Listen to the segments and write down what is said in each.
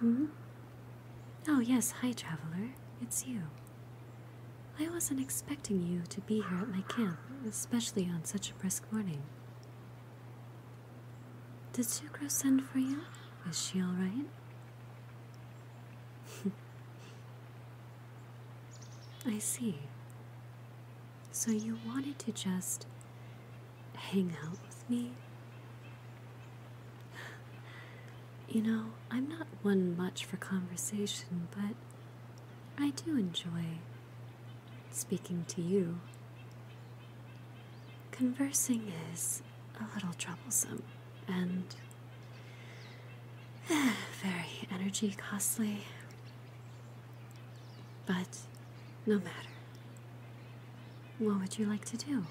Hmm? Oh, yes, hi, traveler. It's you. I wasn't expecting you to be here at my camp, especially on such a brisk morning. Did Sucro send for you? Is she alright? I see. So you wanted to just hang out with me? You know, I'm not one much for conversation, but I do enjoy speaking to you. Conversing is a little troublesome and very energy costly. But no matter. What would you like to do?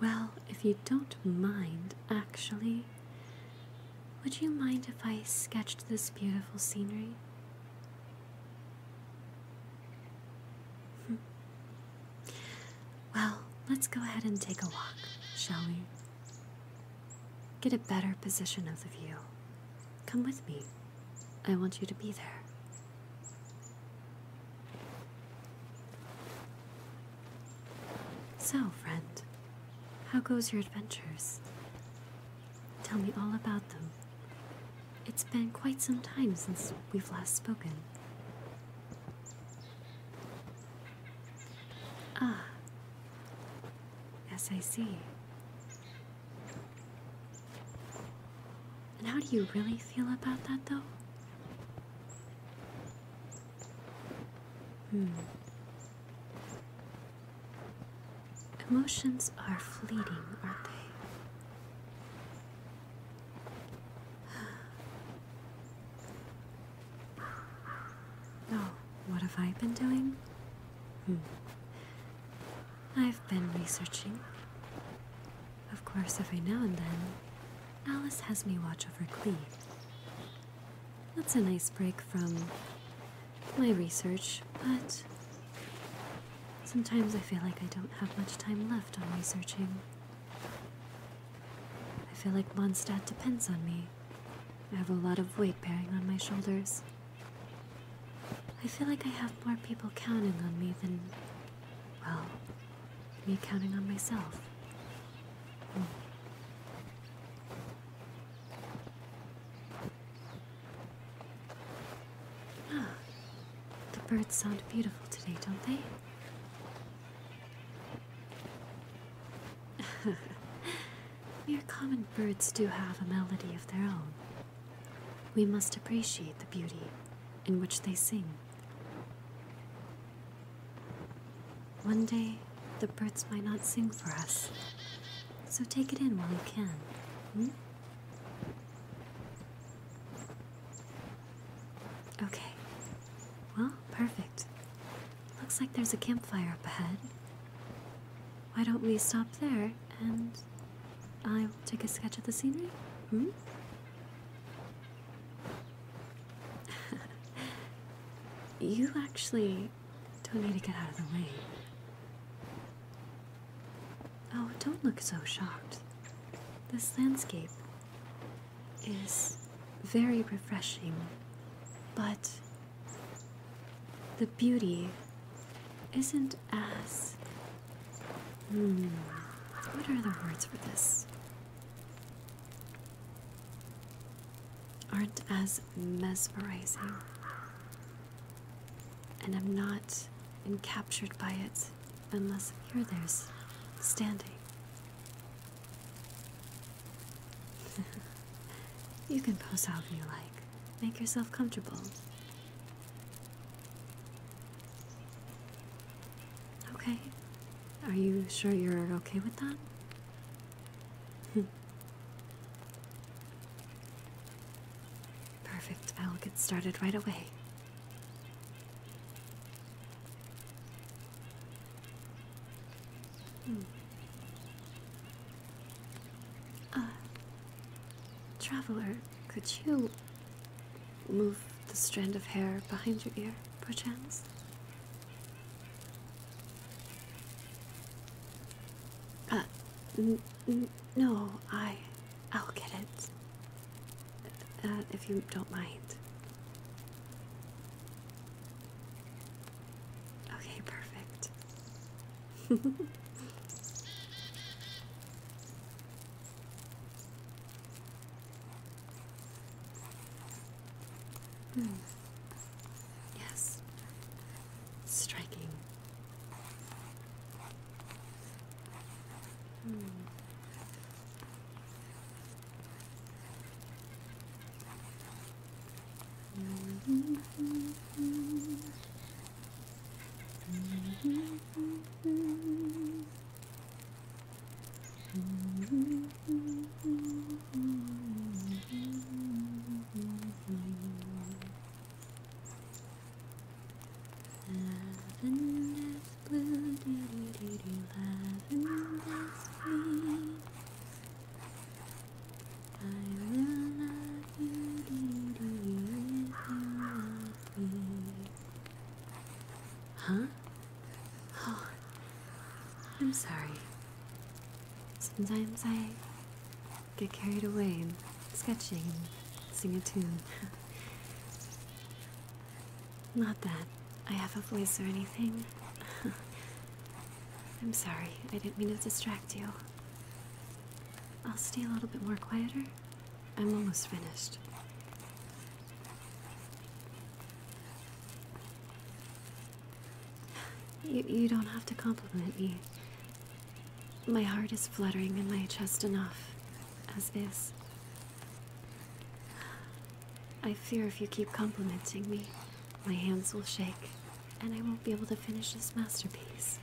Well, if you don't mind, actually, would you mind if I sketched this beautiful scenery? Hmm. Well, let's go ahead and take a walk, shall we? Get a better position of the view. Come with me. I want you to be there. So, friend, how goes your adventures? Tell me all about them. It's been quite some time since we've last spoken. Ah, yes, I see. And how do you really feel about that, though? Hmm. Emotions are fleeting, aren't they? Oh, what have I been doing? Hmm. I've been researching. Of course, every now and then, Alice has me watch over Cleve. That's a nice break from my research, but sometimes I feel like I don't have much time left on researching. I feel like Mondstadt depends on me. I have a lot of weight bearing on my shoulders. I feel like I have more people counting on me than, well, me counting on myself. Ah, the birds sound beautiful today, don't they? Mere common birds do have a melody of their own. We must appreciate the beauty in which they sing. One day, the birds might not sing for us, so take it in while you can. Hmm? Okay. Well, perfect. Looks like there's a campfire up ahead. Why don't we stop there and I will take a sketch of the scenery? Hmm? you actually don't need to get out of the way. Oh, don't look so shocked. This landscape is very refreshing, but the beauty isn't as. Hmm, what are the words for this? Aren't as mesmerizing and i am not encaptured by it unless you're there's standing. you can pose however you like. Make yourself comfortable. Okay. Are you sure you're okay with that? Perfect. I'll get started right away. Hmm. Uh, traveler, could you move the strand of hair behind your ear, perchance? Uh, no, I, I'll get it. Uh, if you don't mind. Okay, perfect. Hmm. Yes. Striking. Hmm. Hmm. Lavender's blue, doo doo doo doo, lavender's green. I will love you, doo doo, if you love me. Huh? Oh, I'm sorry. Sometimes I get carried away in sketching and sing a tune. Not that I have a voice or anything. I'm sorry, I didn't mean to distract you. I'll stay a little bit more quieter. I'm almost finished. You, you don't have to compliment me. My heart is fluttering in my chest enough, as is. I fear if you keep complimenting me, my hands will shake, and I won't be able to finish this masterpiece.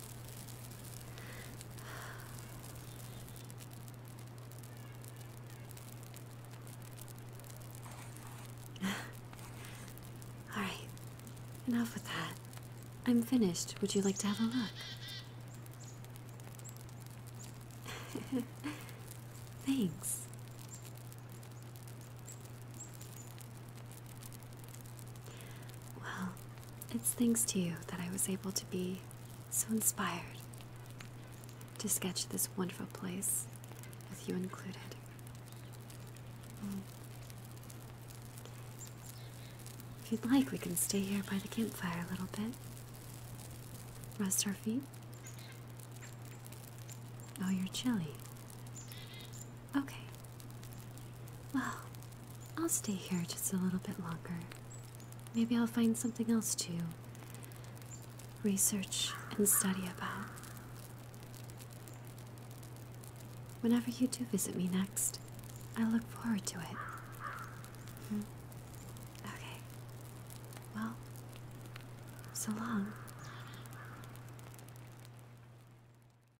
Alright, enough with that. I'm finished. Would you like to have a look? Thanks. Well, it's thanks to you that I was able to be so inspired to sketch this wonderful place with you included. If you'd like, we can stay here by the campfire a little bit. Rest our feet. Oh, you're chilly. Okay. Well, I'll stay here just a little bit longer. Maybe I'll find something else to research and study about. Whenever you do visit me next, I look forward to it. Hmm. Okay. Well, so long.